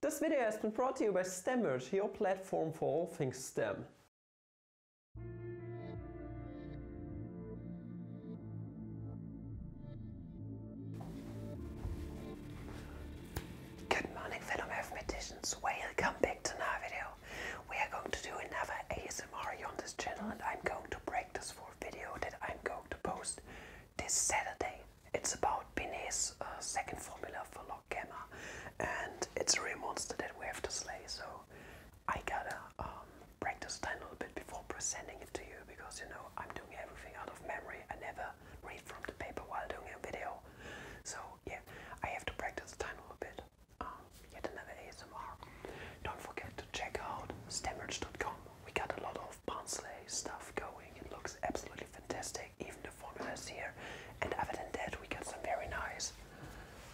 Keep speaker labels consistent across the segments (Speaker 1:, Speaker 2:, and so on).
Speaker 1: This video has been brought to you by STEMmerge, your platform for all things STEM. Good morning fellow mathematicians, welcome back to another video. We are going to do another ASMR on this channel and I'm going to break this for a video that I'm going to post this Saturday. It's about Binet's uh, second formula for log gamma, and it's a real monster that we have to slay. So I gotta um, practice a little bit before presenting it to you because you know I'm doing everything out of memory. I never read from the paper while doing a video, so yeah, I have to practice a little bit. Um, yet another ASMR. Don't forget to check out stemmerch.com. We got a lot of Ponsley stuff going. It looks absolutely fantastic fantastic, even the formulas here. And other that, we got some very nice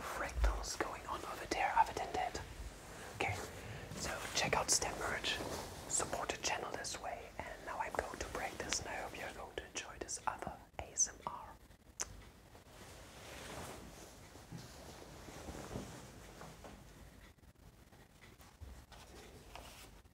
Speaker 1: fractals going on over there, other than that. Okay, so check out STEM support the channel this way, and now I'm going to break this, and I hope you're going to enjoy this other ASMR.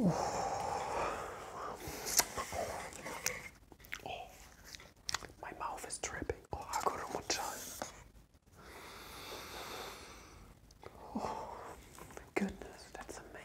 Speaker 1: Oh, my mouth is dripping. Oh, I got a Oh my goodness, that's amazing.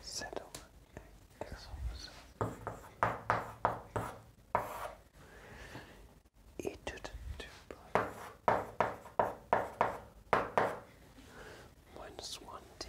Speaker 1: Settlement and exorcism. It didn't do one did.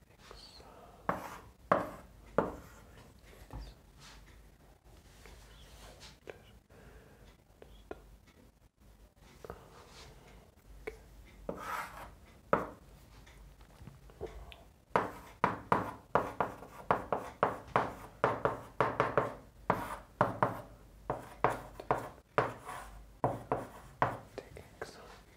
Speaker 1: Take excellent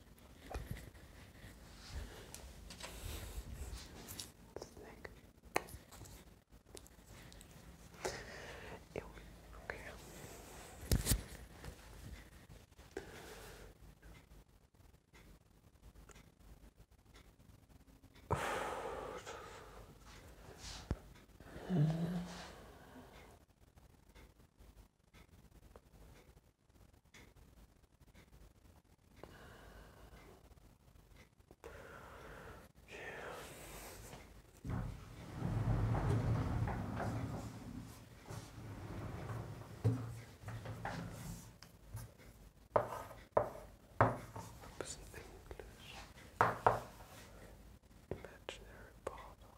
Speaker 1: It's thick. It's an English imaginary bottle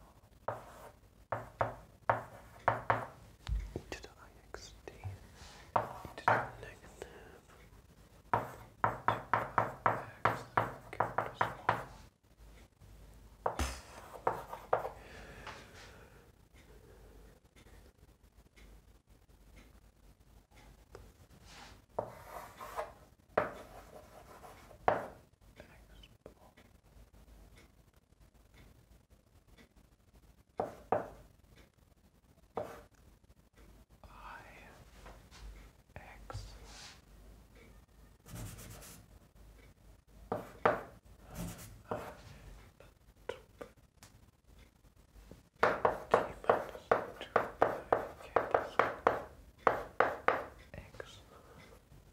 Speaker 1: e to the IXT, e the negative, two x capital X I X T minus two pi K plus one X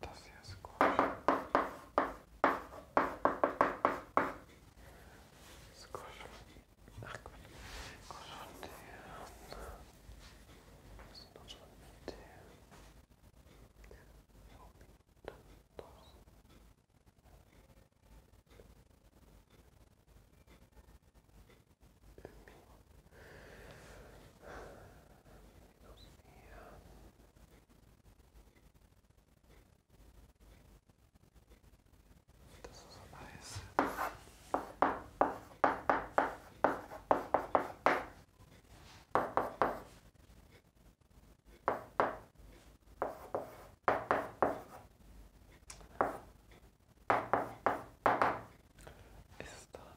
Speaker 1: Das hier ist Squash. Squash. Ach Gott. Squash und der. Was ist noch schon mit der? minus 4. Das ist Eis. Ist dann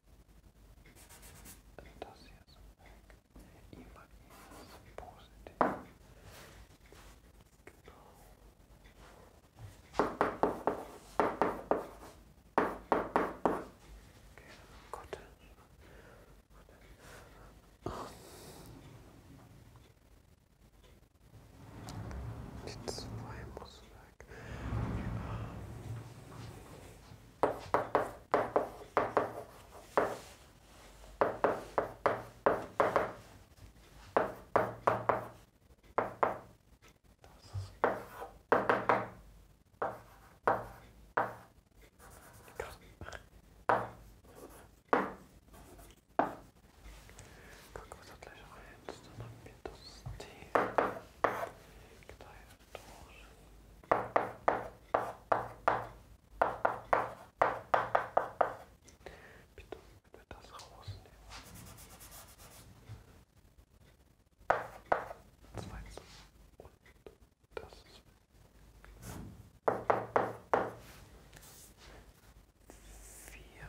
Speaker 1: das hier ist weg. Imagines positiv. Genau. Okay, Gott. Die zwei muss weg. Gucken wir das gleich rein. Dann haben wir das T geteilt. Bitte, bitte das rausnehmen. Zweitens und das. Vier.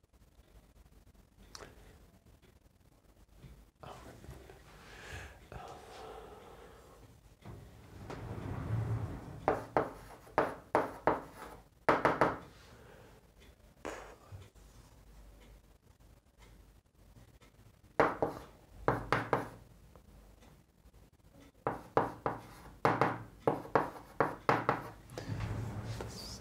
Speaker 1: Oh. Oh. This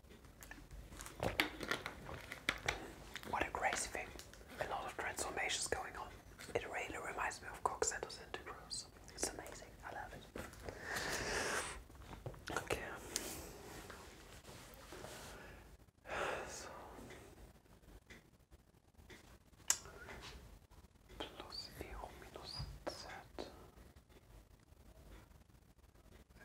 Speaker 1: What a crazy thing. A lot of transformations going on. It really reminds me of Cox and Santa Cruz. It's amazing. I love it. Okay. So. Plus minus Z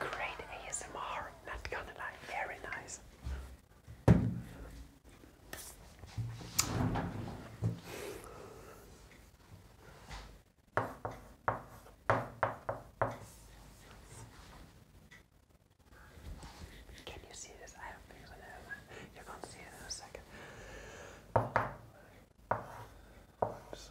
Speaker 1: Great ASMR, not gonna lie, very nice. Can you see this? I don't think so. No. You're going to see it in a second. Oops.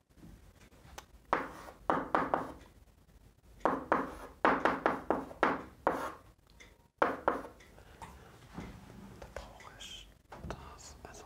Speaker 1: Da brauche ich das. Also.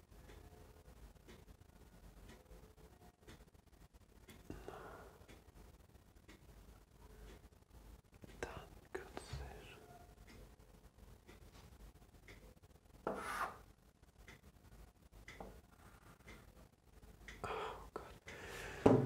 Speaker 1: That good decision. Oh god.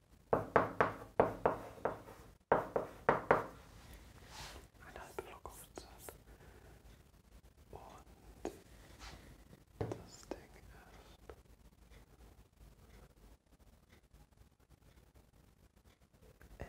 Speaker 1: Eine halbe Verkaufszeit. Und das Ding ist. LL.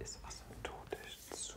Speaker 1: Ist was mit Todisch zu?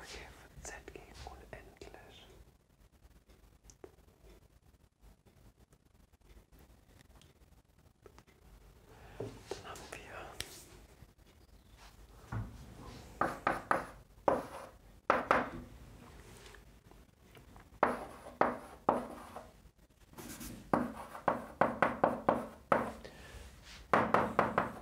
Speaker 1: Okay, Z geht unendlich. Dann haben wir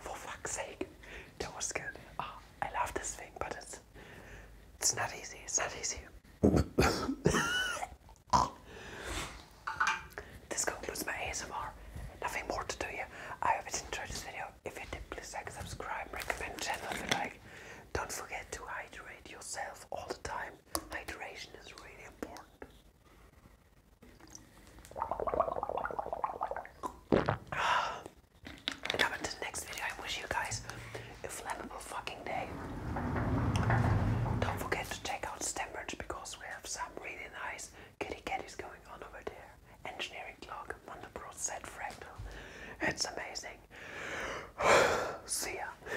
Speaker 1: For fuck's sake, that was good. Ah. I love this thing, but it's it's not easy. It's not easy. this concludes my ASMR. Nothing more to do here. I hope you enjoyed this video. If you did, please like, subscribe, recommend channel if you like. Don't forget to hydrate yourself all the time. Hydration is really important. Ah coming to the next video. I wish you guys a flammable fucking day. Don't forget to check out Stembridge because we have some really nice kitty catties going on over there. Engineering clock, Montebrot set fractal. It's amazing. See ya.